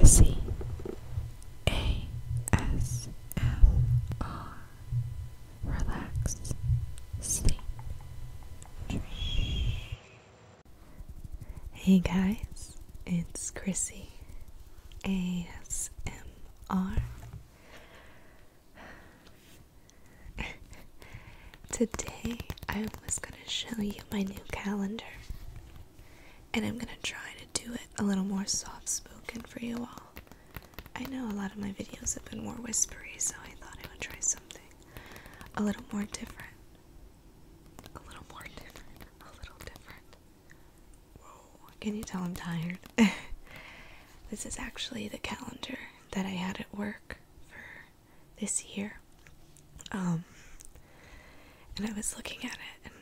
Chrissy A S M R Relax Sleep Hey guys, it's Chrissy A S M R Today I was going to show you my new calendar and I'm gonna try to do it a little more soft spoken for you all. I know a lot of my videos have been more whispery, so I thought I would try something a little more different. A little more different. A little different. Whoa, can you tell I'm tired? this is actually the calendar that I had at work for this year. Um, and I was looking at it, and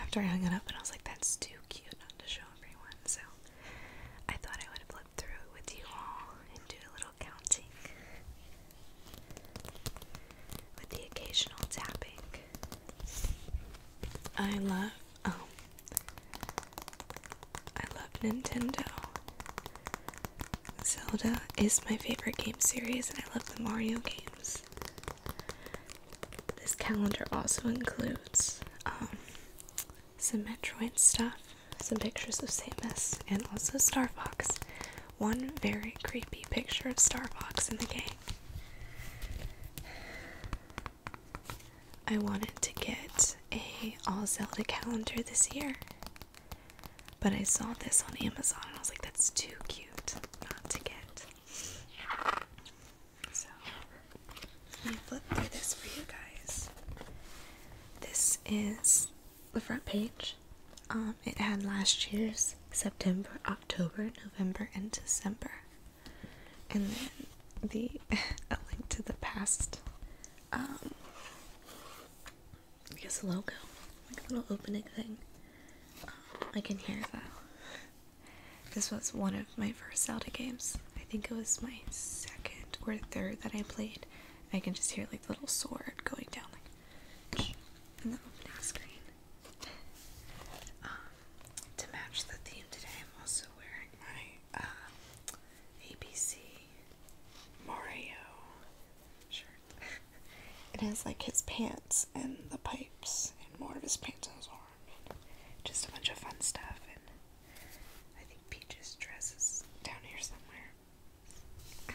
after I hung it up, and I was like, "That's too cute not to show everyone." So I thought I would flip through it with you all and do a little counting, with the occasional tapping. I love um, I love Nintendo. Zelda is my favorite game series, and I love the Mario games this. calendar also includes um, some Metroid stuff, some pictures of Samus, and also Star Fox. One very creepy picture of Star Fox in the game. I wanted to get a all Zelda calendar this year. But I saw this on Amazon and I was like, that's too cute not to get. So let flip through this for you guys. This is the front page. Um, it had last year's September, October, November, and December. And then the a link to the past um, I guess a logo, like a little opening thing. Um, I can hear that. This was one of my first Zelda games. I think it was my second or third that I played. I can just hear like the little sword going down like in the opening screen. Um, to match the theme today, I'm also wearing my uh, ABC Mario shirt. it has like his pants and the pipes and more of his pants on his arm. Just a bunch of fun stuff. And I think Peach's dress is down here somewhere. I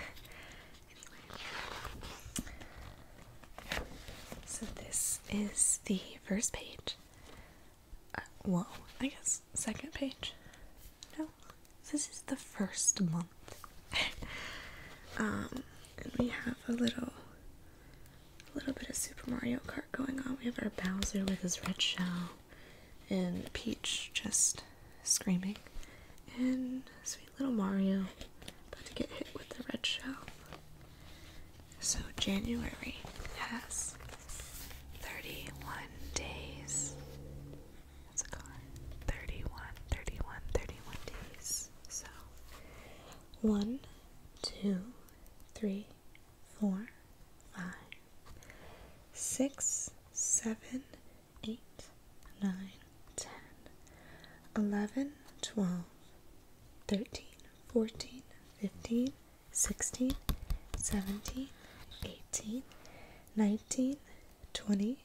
love it. So this is the first page. Uh, whoa, I guess second page. No, this is the first month. Um, and we have a little, a little bit of Super Mario Kart going on. We have our Bowser with his red shell, and Peach just screaming, and sweet little Mario about to get hit with the red shell. So January has 31 days it a gone. 31, 31, 31 days. So, one, two, three, four, five, six, seven, eight, nine, ten, eleven, twelve, thirteen, fourteen, fifteen, sixteen, seventeen, eighteen, nineteen, twenty.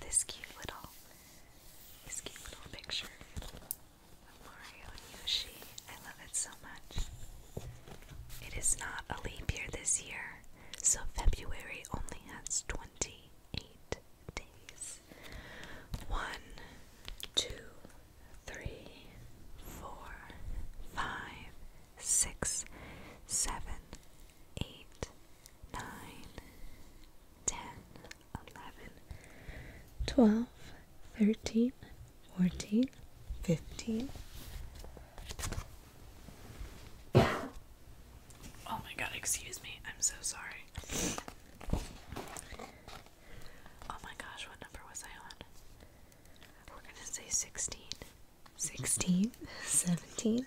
this cute little this cute little picture of Mario and Yoshi. I love it so much. It is not a leap year this year, so February only has 28 days. One, two, three, four, five, six, seven, eight, nine, ten, eleven, twelve, thirteen, fourteen, fifteen. Oh my god, excuse me. I'm so sorry. Oh my gosh, what number was I on? We're gonna say 16, 16, 17,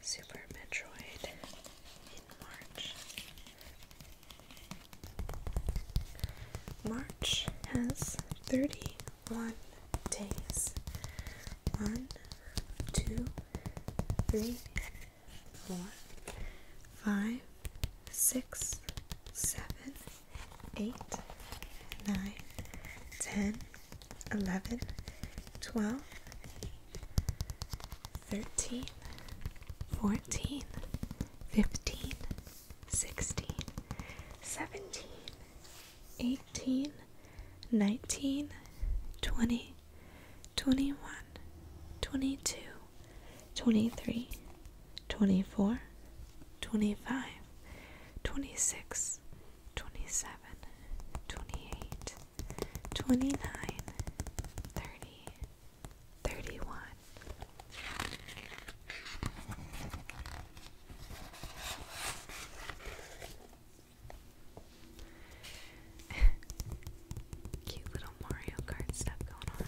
Super Metroid in March. March has 31 days. One, two, three, four, five, six, seven, eight, nine, ten, eleven, twelve, 13, 14, 15, 16, 17, 18, 19, 20, 21, 22, 23, 24, 25, 26, 27, 28, 29, 30, thirty one. Cute little Mario Kart stuff going on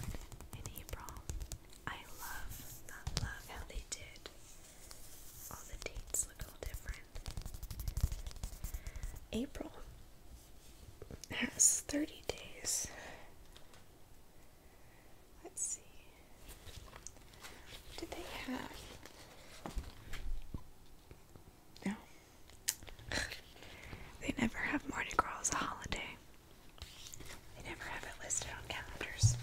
in April. I love, love how they did. All the dates look all different. April has 30 days. Let's see. Do they have? No. they never have Mardi Gras as a holiday. They never have it listed on calendars.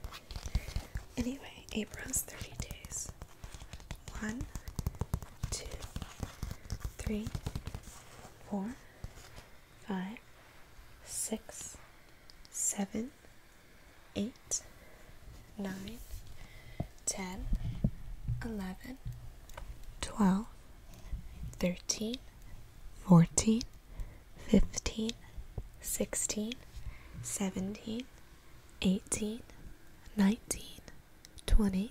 anyway, April's 30 days. One, two, three, four, five, six, seven, eight, nine, ten, eleven, twelve, thirteen, fourteen, fifteen, sixteen, seventeen. 18, 19, 20,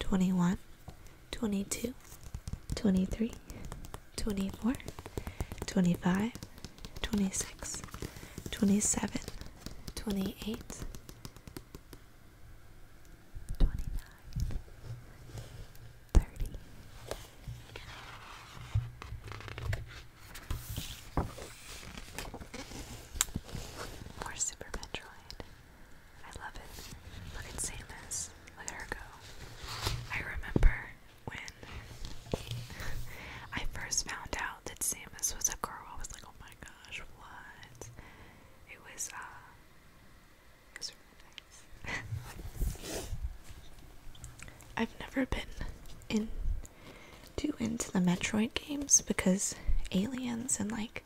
21, 22, 23, 24, 25, 26, 27, 28, more Super Metroid. I love it. Look at Samus. Look at her go. I remember when I first found out that Samus was a girl. I was like, oh my gosh, what? It was, uh, it was really nice. I've never been in too into the Metroid games because aliens and like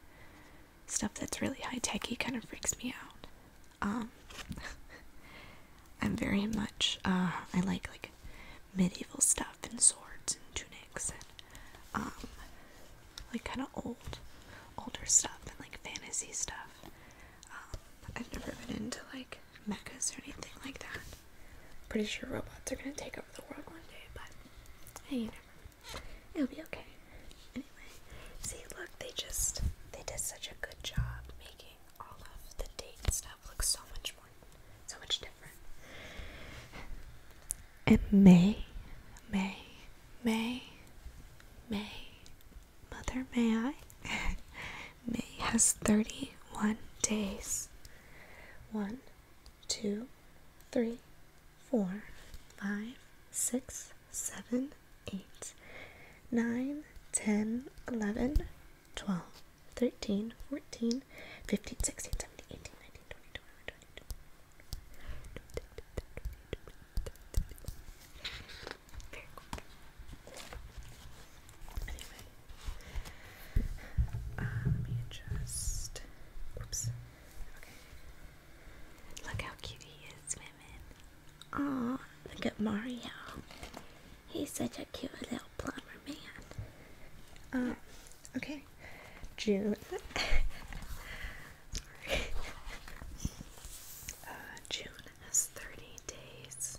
stuff that's really high techy kind of freaks me out. Um, I'm very much uh, I like like medieval stuff and swords and tunics and um, like kind of old, older stuff and like fantasy stuff. Um, I've never been into like mechas or anything like that. Pretty sure robots are gonna take over the world one day, but hey, you never. It'll be okay. Anyway, see, look, they just they did such a good job making all of the date stuff look so much more, so much different. And May, May, May, May, Mother, may I? May has thirty-one days. One, two, three, four, five, six, seven, eight, nine, ten, eleven, twelve, thirteen, fourteen, fifteen, sixteen, seventeen, eighteen, nineteen, twenty, twenty-one, twenty-two. Very cool. Uh, let me just. Oops. Okay. Look how cute he is, women. Aw, look at Mario. He's such a cute little plumber man. Um, okay. June. Sorry. Uh, June has 30 days.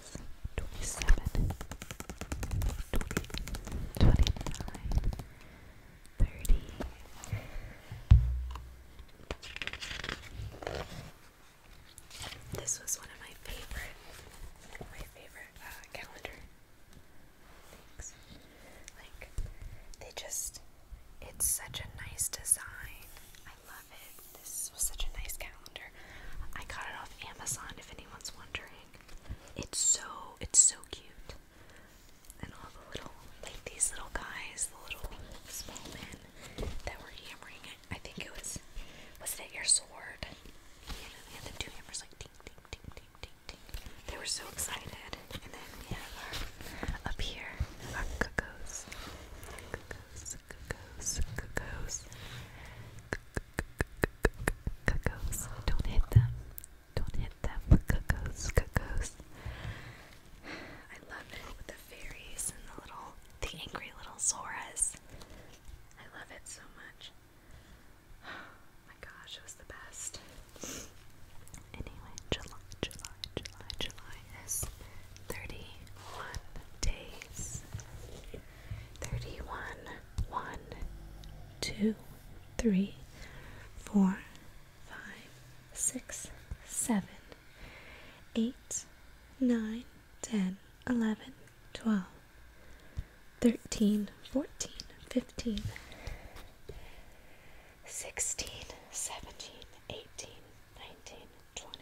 26, This was one of my favorite, my favorite calendar things. Like, they just, it's such a nice design love it. This was such a nice calendar. I got it off Amazon if anyone's wondering. It's so it's so cute. And all the little like these little guys, the little small men that were hammering it. I think it was was it at your sword? You the two hammers like ding ding ding ding ding They were so excited. And then we have our up here, our cuckoos. Cacos, cacos, cacos. Cacos. Don't hit them. Don't hit them. Cacos, cacos. I love it with the fairies and the little, the angry little Zoras. I love it so much. Oh my gosh, it was the best. Anyway, July, July, July, July is 31 days thirty-one, one, two, three, four, five, six, seven, eight, nine, ten, eleven, twelve, thirteen, fourteen, fifteen, sixteen, seventeen, eighteen. 19, 20,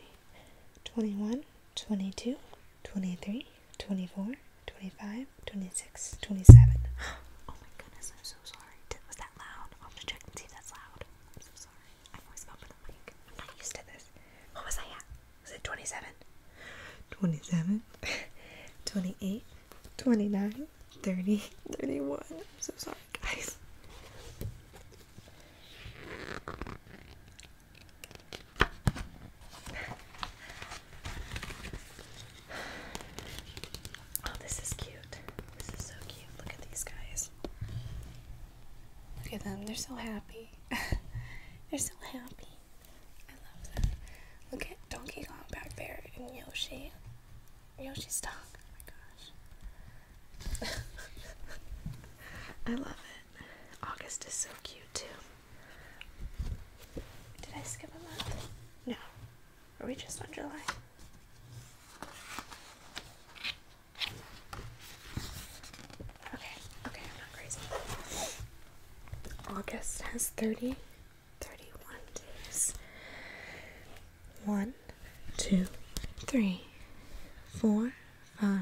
21, 22, 23, 24, 25, 26, 27. Oh my goodness, I'm so sorry. Was that loud? I'll have to check and see if that's loud. I'm so sorry. I am always over the mic. I'm not used to this. What was I at? Was it 27? 27, 28, 29, 30, 31. I'm so sorry, guys. Oh, this is cute. This is so cute. Look at these guys. Look at them. They're so happy. They're so happy. I love that. Look at Donkey Kong back there and Yoshi. Yoshi's dog. Oh my gosh. I love it. August is so cute too. Did I skip a month? No. Are we just on July? Okay, okay, I'm not crazy. August has 30, 31 days. One, two, three, four, five,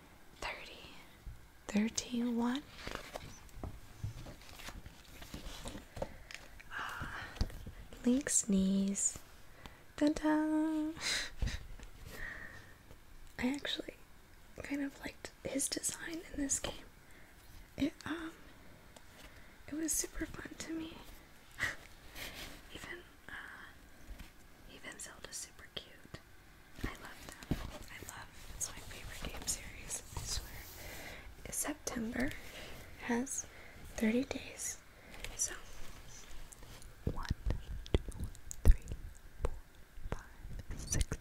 thirty, thirty-one. Ah, Link sneeze. I actually kind of liked his design in this game. It um, it was super fun to me. Even uh, even Zelda's super cute. I love them. I love it's my favorite game series, I swear. September has 30 days. So one, two, three, four, five, six,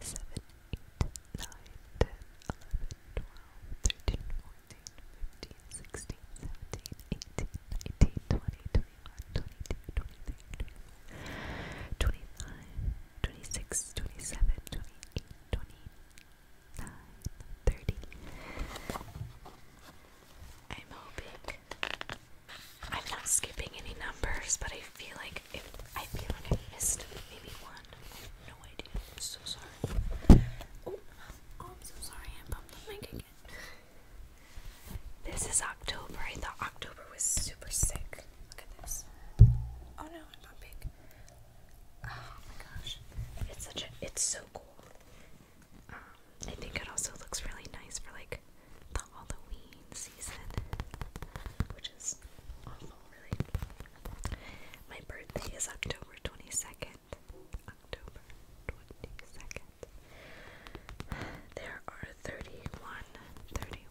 seven, eight, nine, ten, eleven, twelve, thirteen, fourteen, fifteen, sixteen, seventeen, eighteen, nineteen, twenty, twenty-one. 22, 26, 27, 30. I'm hoping I'm not skipping any numbers, but I feel like I feel like I missed maybe one. no idea. I'm so sorry. Oh, I'm so sorry. I bumped the this is October. I thought October was super sick. Look at this. Oh no, I'm not Oh my gosh. It's such a it's so cool. Um, I think it also looks really nice for like the Halloween season. Which is awful really. My birthday is October twenty second. October twenty second. There are 31, 31,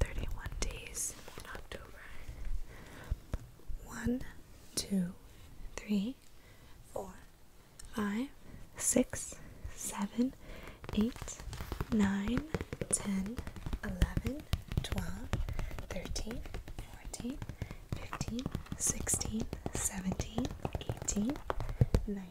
31 days in October. One, two, three, four, five, six, seven, eight, nine, ten, eleven, twelve, thirteen, fourteen, fifteen, sixteen, seventeen, eighteen, nineteen.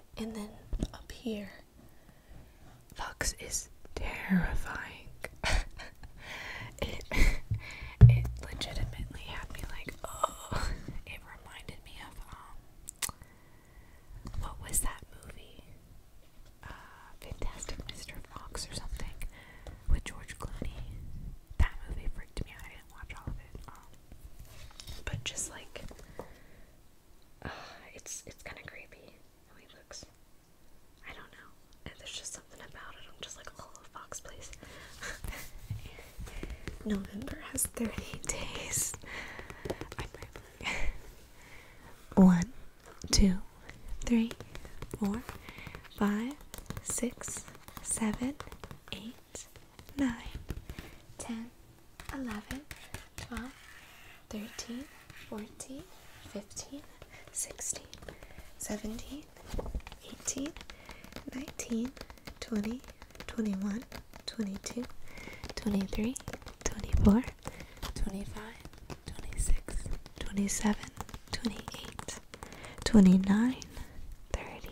and then up here. Fox is terrifying. it it legitimately had me like, oh, it reminded me of um, what was that movie? Uh, Fantastic Mr. Fox or something with George Clooney. That movie freaked me out. I didn't watch all of it. Um, but just like it's it's kind of creepy how he looks. I don't know. And there's just something about it. I'm just like, oh, Fox, please. November has 30 days. One, two, three, four, five, six, seven, eight, eight, nine, ten, eleven, twelve, thirteen, fourteen, fifteen, sixteen, seventeen, eighteen, nineteen, twenty, twenty-one, twenty-two, twenty-three, twenty-four, twenty-five, twenty-six, twenty-seven, twenty-eight, twenty-nine. 30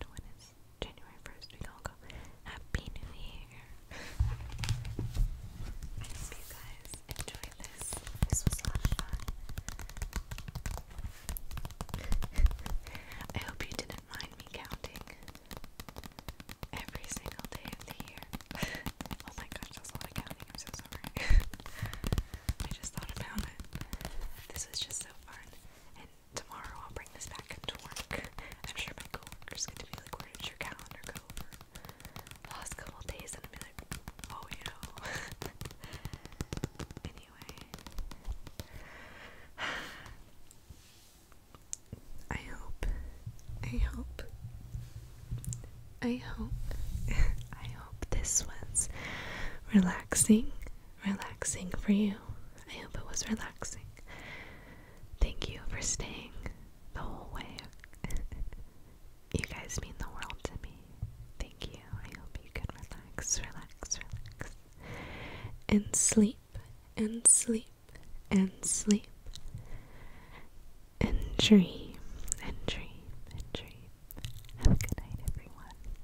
to when January 1st, we all go, Happy New Year! I hope you guys enjoyed this. This was fun. I hope you didn't mind me counting every single day of the year. oh my gosh, that's a counting. I'm so sorry. I just thought about it. This was just so fun tomorrow I'll bring this back to work. I'm sure my coworkers get to be like, where did your calendar go last couple days? And be like, oh, you know. anyway. I hope, I hope, I hope, I hope this was relaxing relaxing for you. I hope it was relaxing. Thank you for staying the whole way. you guys mean the world to me. Thank you. I hope you can relax, relax, relax. And sleep, and sleep, and sleep. And dream, and dream, and dream. Have a good night, everyone.